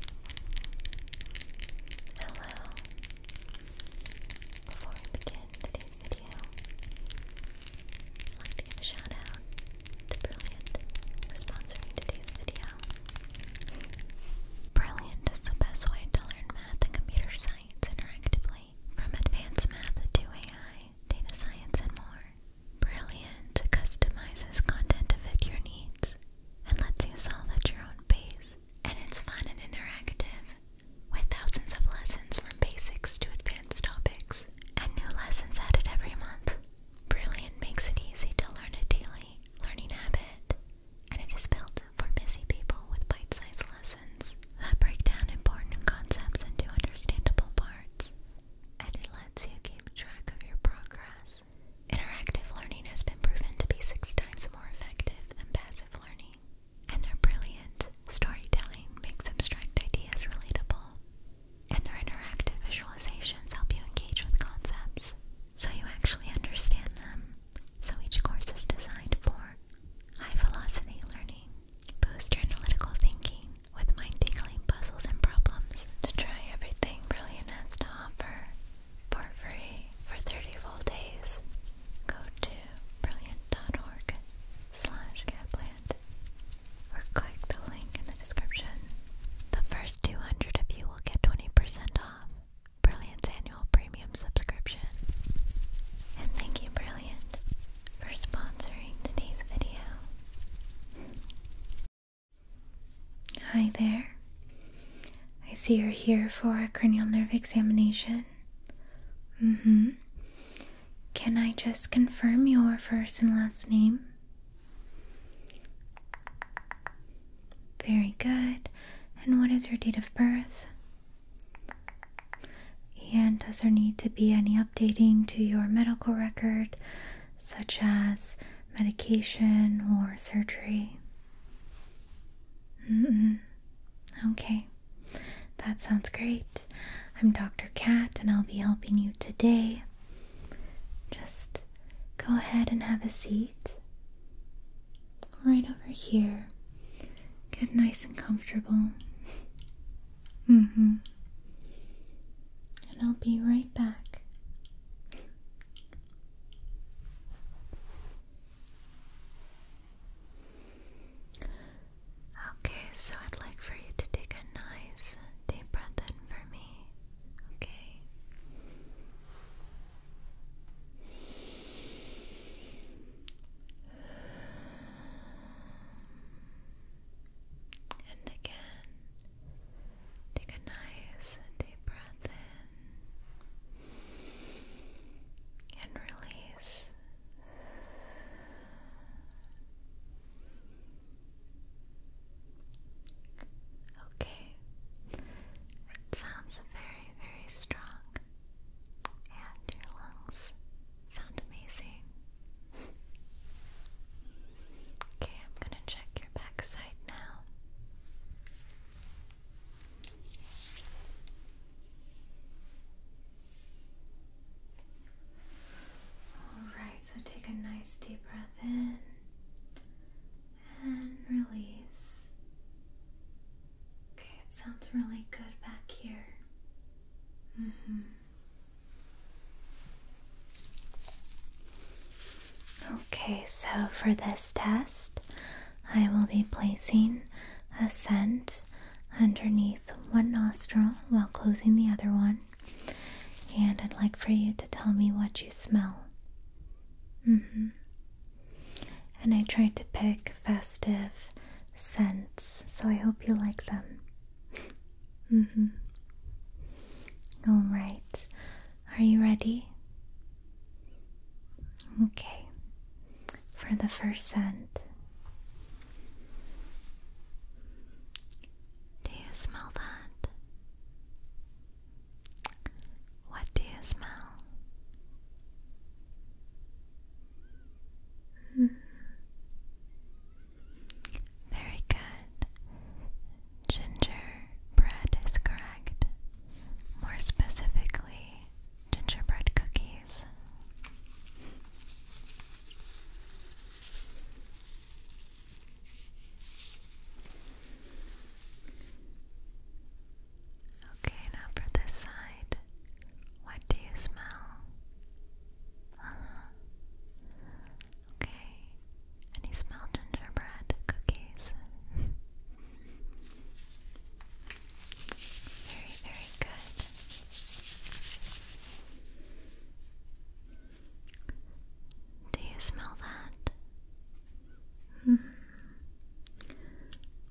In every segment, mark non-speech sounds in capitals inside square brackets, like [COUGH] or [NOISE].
Hello! Before we begin today's video, I'd give a shout out to Brilliant for sponsoring today's video. Brilliant is the best way to learn math and computer science interactively, from advanced math to AI, data science, and more. Brilliant customizes content to fit your needs and lets you solve at your own pace. And it's fun and interactive, with thousands of lessons from basics to advanced topics, and new lessons added every month. Brilliant makes it easy to learn a daily learning habit, and it is built for busy people with bite-sized lessons that break down important concepts into understandable parts. And it lets you keep track of your progress Interactive learning has been proven to be six times more effective than passive learning, and their brilliant storytelling makes abstract ideas relatable. And their interactive visualizations help you engage with concepts so you actually understand them. So each course is designed for high velocity learning, boost your analytical thinking with mind tingling puzzles and problems to try everything Brilliant has to offer for free for 30 full days. Go to brilliant.org Capland or click the link in the description. The first 200 of you will get 20% off Brilliant's annual premium subscription. And thank you, Brilliant, for sponsoring today's video. Hi there. I see you're here for a cranial nerve examination. Mm-hmm. Can I just confirm your first and last name? Very good. And what is your date of birth? And does there need to be any updating to your medical record such as medication or surgery. Okay, that sounds great. I'm Dr. Cat and I'll be helping you today. Just go ahead and have a seat right over here. Get nice and comfortable. Mm-hmm. And I'll be right back. Okay, so I'd like for you to take a nice deep breath in for me. Okay. And again. Take a nice deep breath in and release. Okay, it sounds very, very strong, and your lungs sound amazing. Okay, I'm gonna check your back now. Alright, so take a nice deep breath in and release. Okay, it sounds really good back here. Mm hmm. Okay, so for this test, I will be placing a scent underneath one nostril while closing the other one, and I'd like for you to tell me what you smell. Mm-hmm. And I tried to pick festive scents, so I hope you like them. Mm-hmm. All right. Are you ready? Okay. For the first scent. Do you smell that? What do you smell? Mm. Very good. Gingerbread is correct. More specifically, gingerbread cookies. Okay, now for this side. What do you smell? Uh-huh. Okay. And you smell gingerbread cookies. [LAUGHS] very, very good. Do you smell that? Hmm.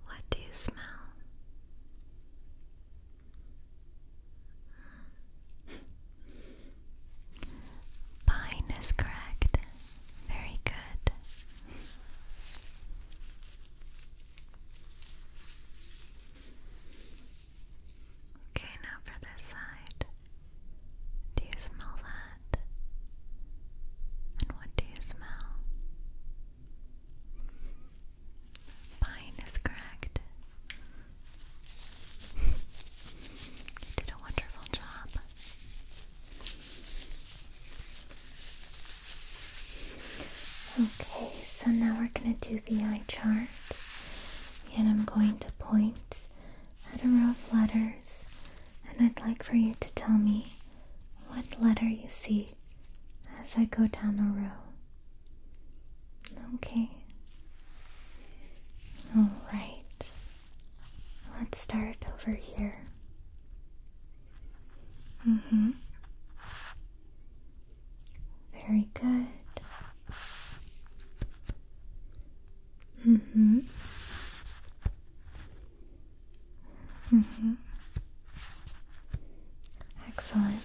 What do you smell? Hmm. Pine is correct. Very good. Okay, now for this side. Do you smell that? And what do you smell? Pine is correct did a wonderful job. Okay, so now we're going to do the eye chart, and I'm going to point at a row of letters, and I'd like for you to tell me what letter you see as I go down the row. Okay. Alright. Let's start over here. Mm hmm. Very good. Mm hmm. Mm hmm. Excellent.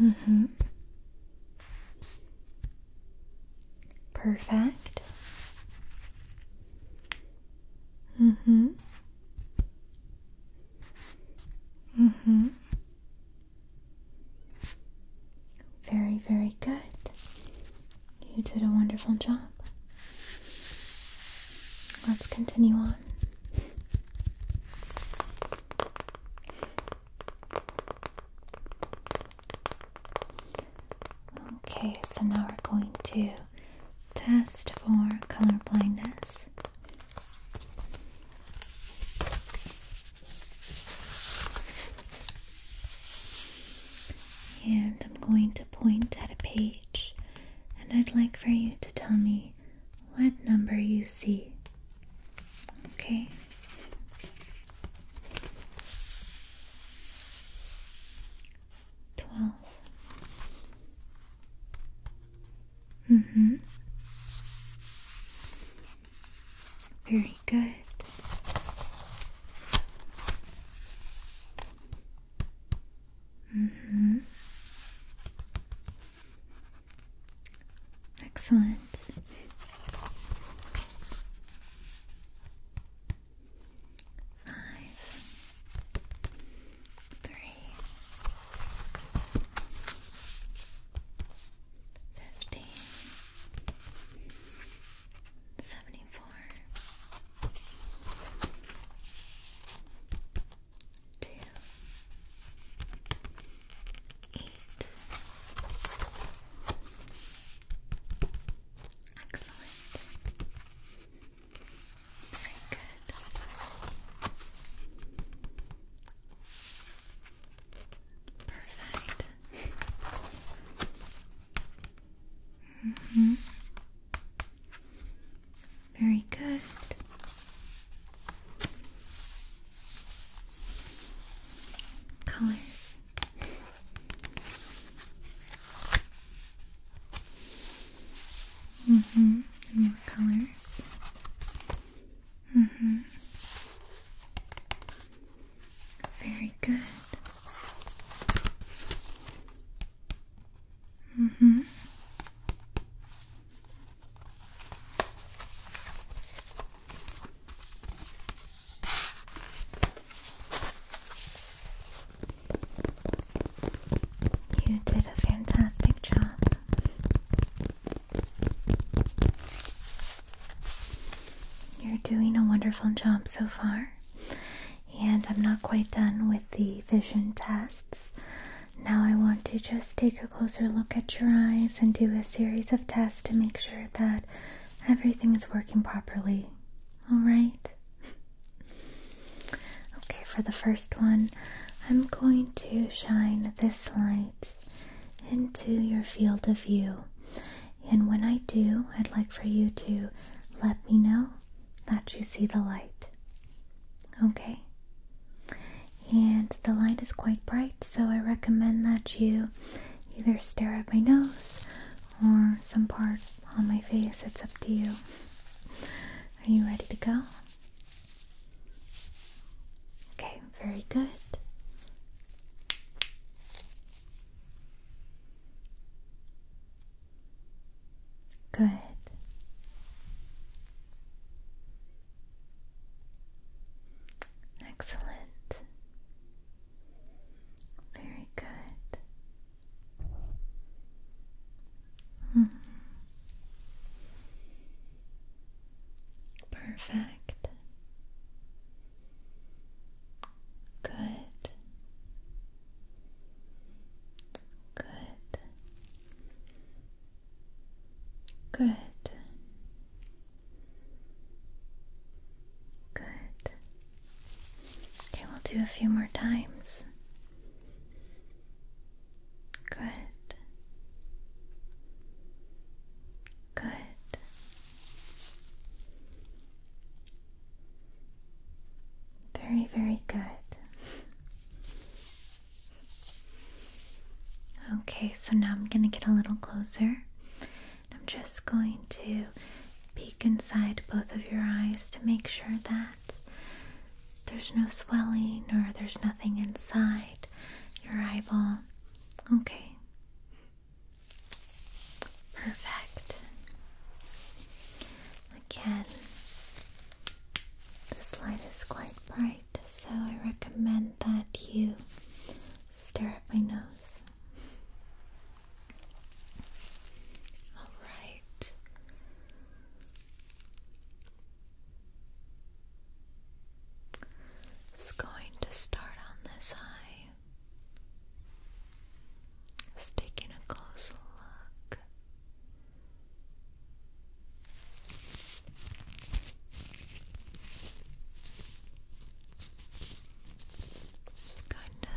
Mm hmm. Perfect. Mm hmm. Mm hmm. Very, very good. You did a wonderful job. Let's continue on. Okay, so now we're going to test for color blindness. And I'm going to point at a page, and I'd like for you to tell me what number you see. Okay. Twelve. Mm-hmm. Very good. Mm-hmm. Excellent. Five, three, fifteen, seventy-four, two, eight. Excellent. Very good. Perfect. [LAUGHS] mm -hmm. Very good. Colors. hmm more colors. hmm Very good. hmm you did a fantastic job. You're doing a wonderful job so far, and I'm not quite done with the vision tests. Now I want to just take a closer look at your eyes and do a series of tests to make sure that everything is working properly. All right? [LAUGHS] Okay, for the first one, I'm going to shine this light into your field of view. And when I do, I'd like for you to let me know that you see the light. Okay? and the light is quite bright so I recommend that you either stare at my nose or some part on my face it's up to you are you ready to go okay very good Good. Excellent. Very good. Hmm. Perfect. Good. Good. Good. Good. Okay, we'll do a few more times. Good. Good. Very, very good. Okay, so now I'm going to get a little closer. I'm just going to peek inside both of your eyes to make sure that there's no swelling or there's nothing inside your eyeball. Okay. Perfect. Again, this light is quite bright, so I recommend that you stare at my nose. Alright. Just going to start on this eye. Just taking a closer look. Just kind of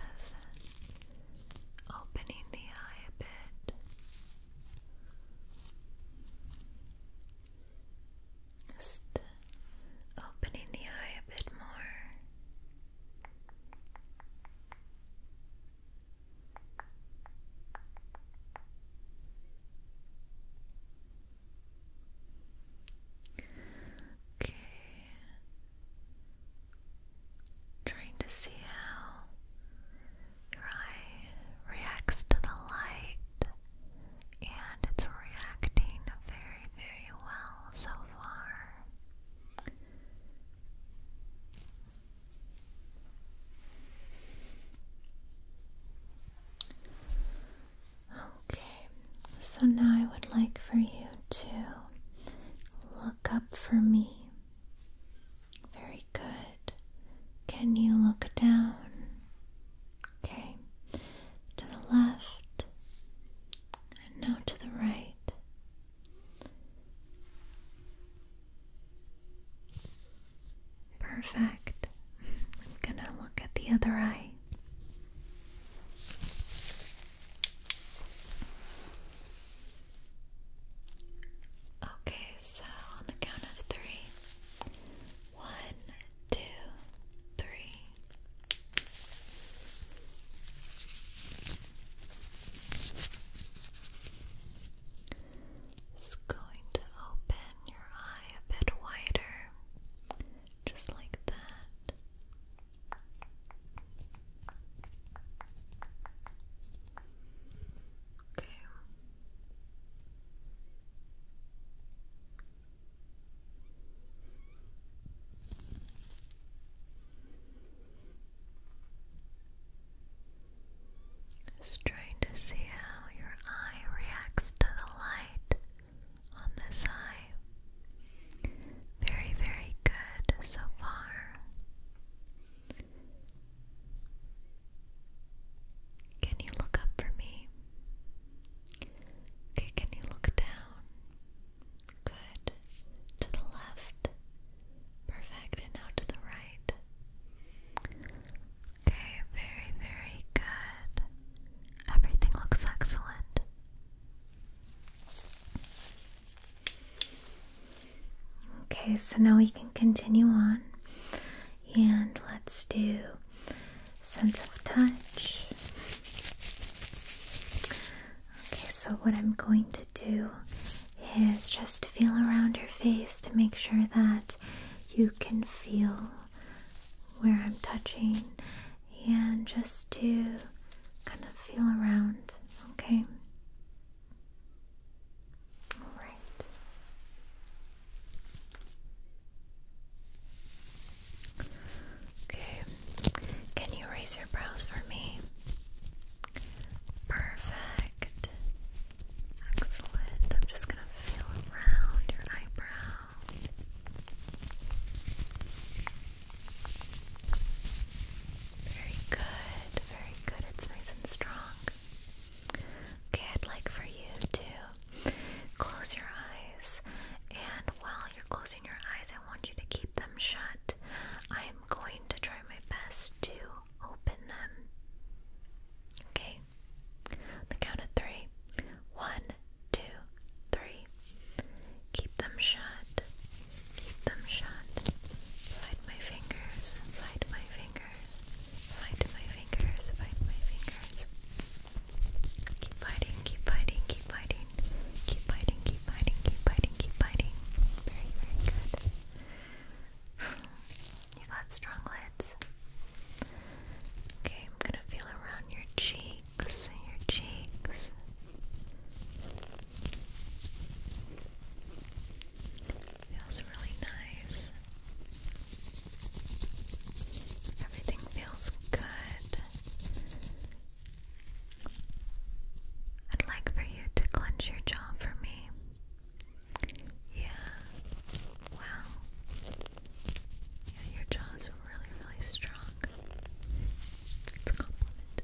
opening the eye a bit. Just opening the eye a bit more. Okay. Trying to see how your eye reacts to the light, and it's reacting very, very well so far. Okay, so now I would like for you to look up for me. Very good. Can you look down? Okay, to the left and now to the right. Perfect. I'm gonna look at the other eye. Okay, so on the count of three. One, just going to open your eye a bit wider, just like that. Okay. Just trying to see how your eye reacts to the light on this eye. Very, very good so far. Can you look up for me? Okay, can you look down? Good. To the left. Perfect, and now to the right. Okay, very, very good. Everything looks excellent. Okay, so now we can continue on and let's do sense of touch. Okay, so what I'm going to do is just feel around your face to make sure that you can feel where I'm touching and just to kind of feel around, okay? All right. Okay. Can you raise your brows for me? Perfect. Excellent. I'm just going to feel around your eyebrow. Very good. Very good. It's nice and strong. Okay, I'd like for you to close your eyes, and while you're closing your eyes, I want you to keep them shut. I am I'm going to try my best to open them. Okay? The count of three. One, Keep them shut. Keep them shut. Find my fingers. Find my fingers. Find my fingers. Find my fingers. Keep biting, keep biting, keep biting. Keep biting, keep biting, keep biting, keep biting. Very, very good. You got strong lids. Okay, I'm gonna feel around your cheeks, your cheeks. Feels really nice. Everything feels good. I'd like for you to clench your jaw for me. Yeah. Wow. Yeah, your jaw is really, really strong. It's a compliment.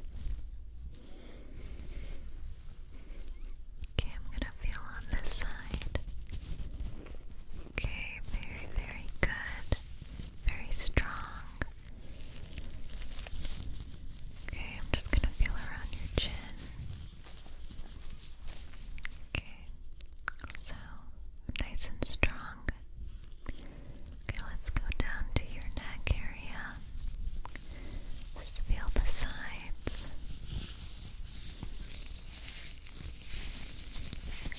Okay, I'm gonna feel on this side. Okay, very, very good. Very strong. Okay, I'm just going to feel around your chin. Okay, so nice and strong. Okay, let's go down to your neck area. Just feel the sides.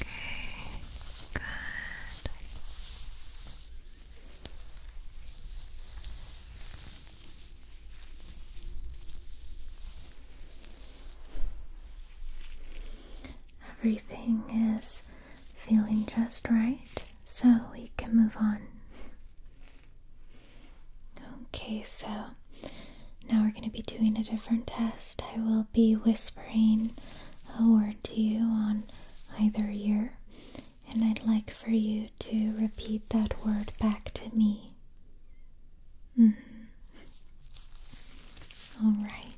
Okay, good. Everything is feeling just right, so we can move on. Okay, so now we're going to be doing a different test. I will be whispering a word to you on either ear, and I'd like for you to repeat that word back to me. Mm-hmm. All right.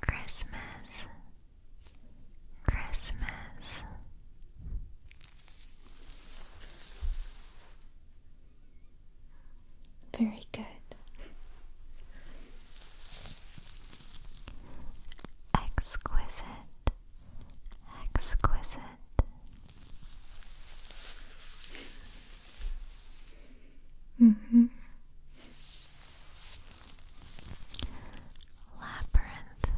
Christmas, Christmas. Very good. Exquisite. Exquisite. hmm. Labyrinth.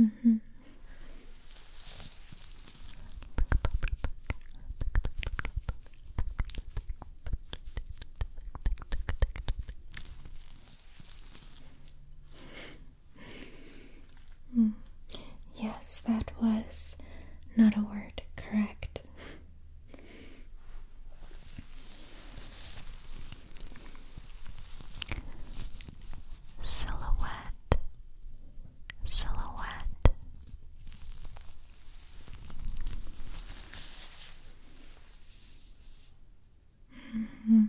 -hmm. Yes, that was not a word, correct? Silhouette, silhouette. Mm-hmm.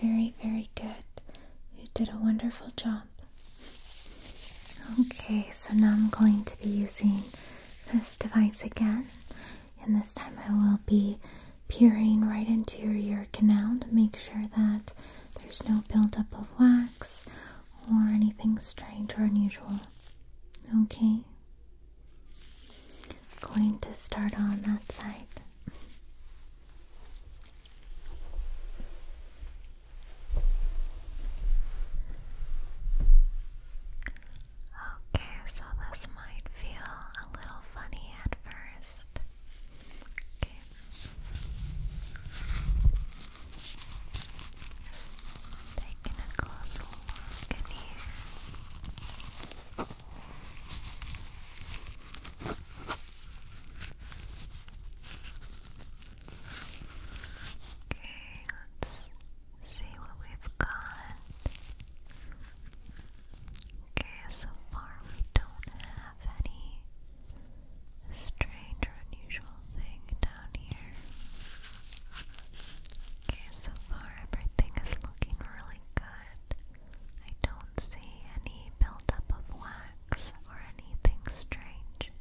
Very, very good. You did a wonderful job. Okay, so now I'm going to be using this device again, and this time I will be peering right into your ear canal to make sure that there's no buildup of wax or anything strange or unusual. Okay? going to start on that side. Okay, so this might feel a little funny at first. Okay, just taking a closer look in here. Okay, let's see what we've got. Okay, so far we don't have have any strange or unusual thing down here. Okay, so far everything is looking really good. I don't see any buildup of wax or anything strange.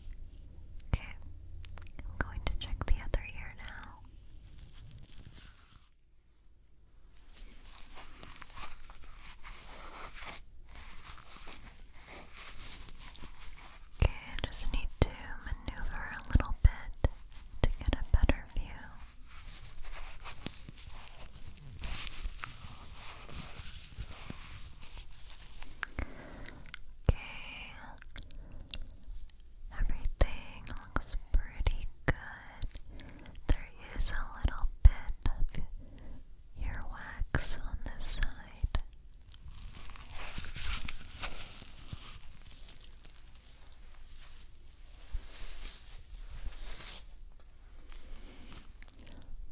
Okay, I'm going to check the other ear now. Okay, I just need to maneuver a little bit to get a better view. Okay, everything looks pretty good. There is a little bit of your wax on the side.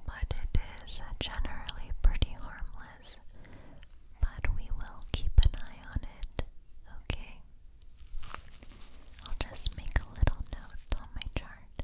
But it is generally pretty harmless, but we will keep an eye on it, okay? I'll just make a little note on my chart.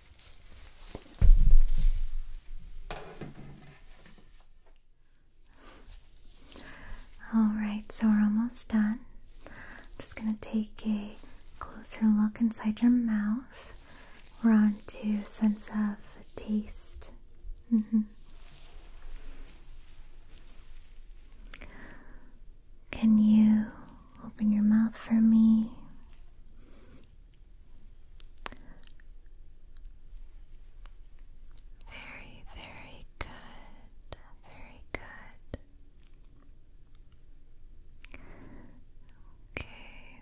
Alright, so we're almost done. I'm just going to take a closer look inside your mouth. We're on to sense of taste. Mm -hmm. Can you open your mouth for me? Very, very good. Very good. Okay.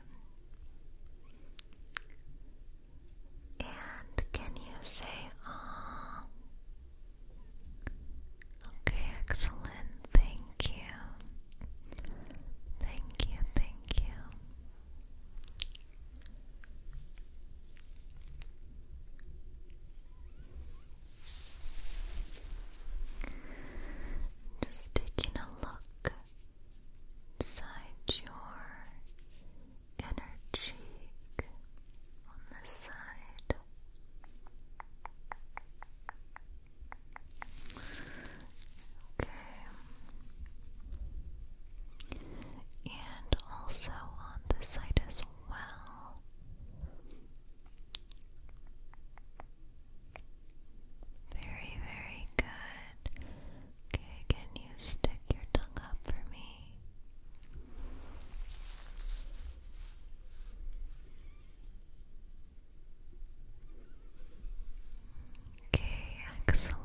And can you say ah? Okay, excellent. Thank you. Thank you, thank you. Just taking a look inside your inner on this side. Okay. And also on this side as well. Very, very good. Okay, can you stick your tongue up for me? Okay, excellent.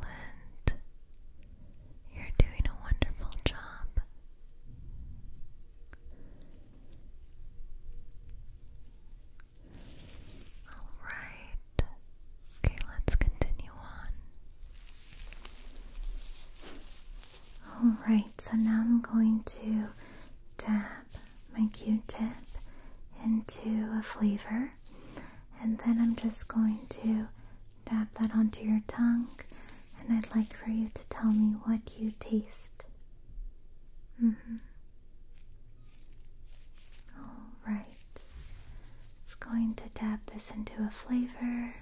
You're doing a wonderful job. All right. Okay, let's continue on. All right, so now I'm going to dab my Q-tip into a flavor and then I'm just going to dab that onto your tongue, and I'd like for you to tell me what you taste. Mm hmm. Alright. It's going to dab this into a flavor.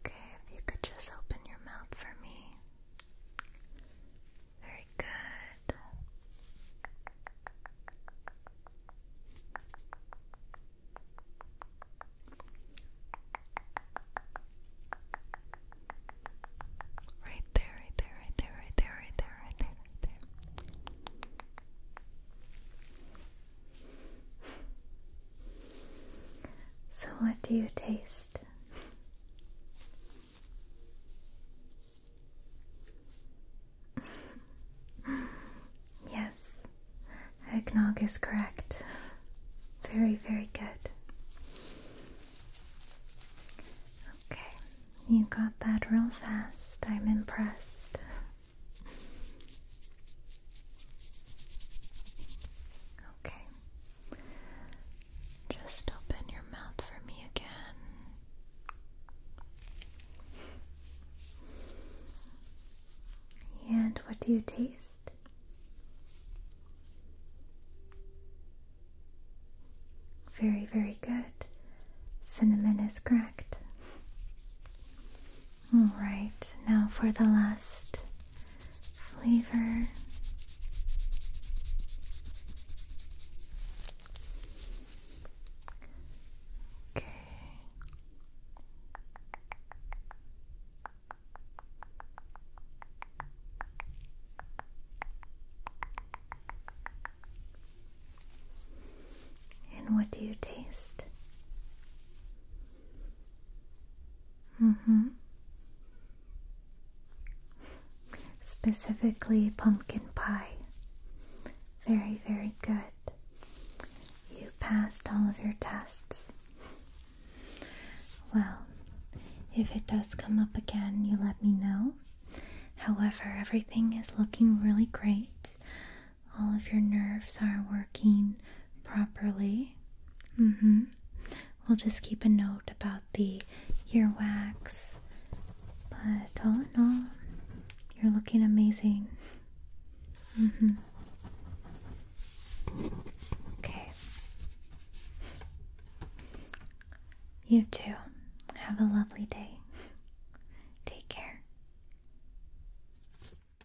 Okay, if you could just open your mouth for me. Very good. Right there, right there, right there, right there, right there, right there, right there. So, what do you taste? [LAUGHS] yes, eggnog is correct. Very, very good. Okay, you got that real fast. I'm impressed. Okay. Just open your mouth for me again. And what do you taste? Very, very good. Cinnamon is correct. All right, now for the last flavor. Okay. And what do you taste? Mm-hmm. Specifically pumpkin pie. Very, very good. You passed all of your tests. Well, if it does come up again, you let me know. However, everything is looking really great all of your nerves are working properly. Mm-hmm. We'll just keep a note about the earwax. But all in all, you're looking amazing. Mm-hmm. Okay. You too. Have a lovely day. Take care.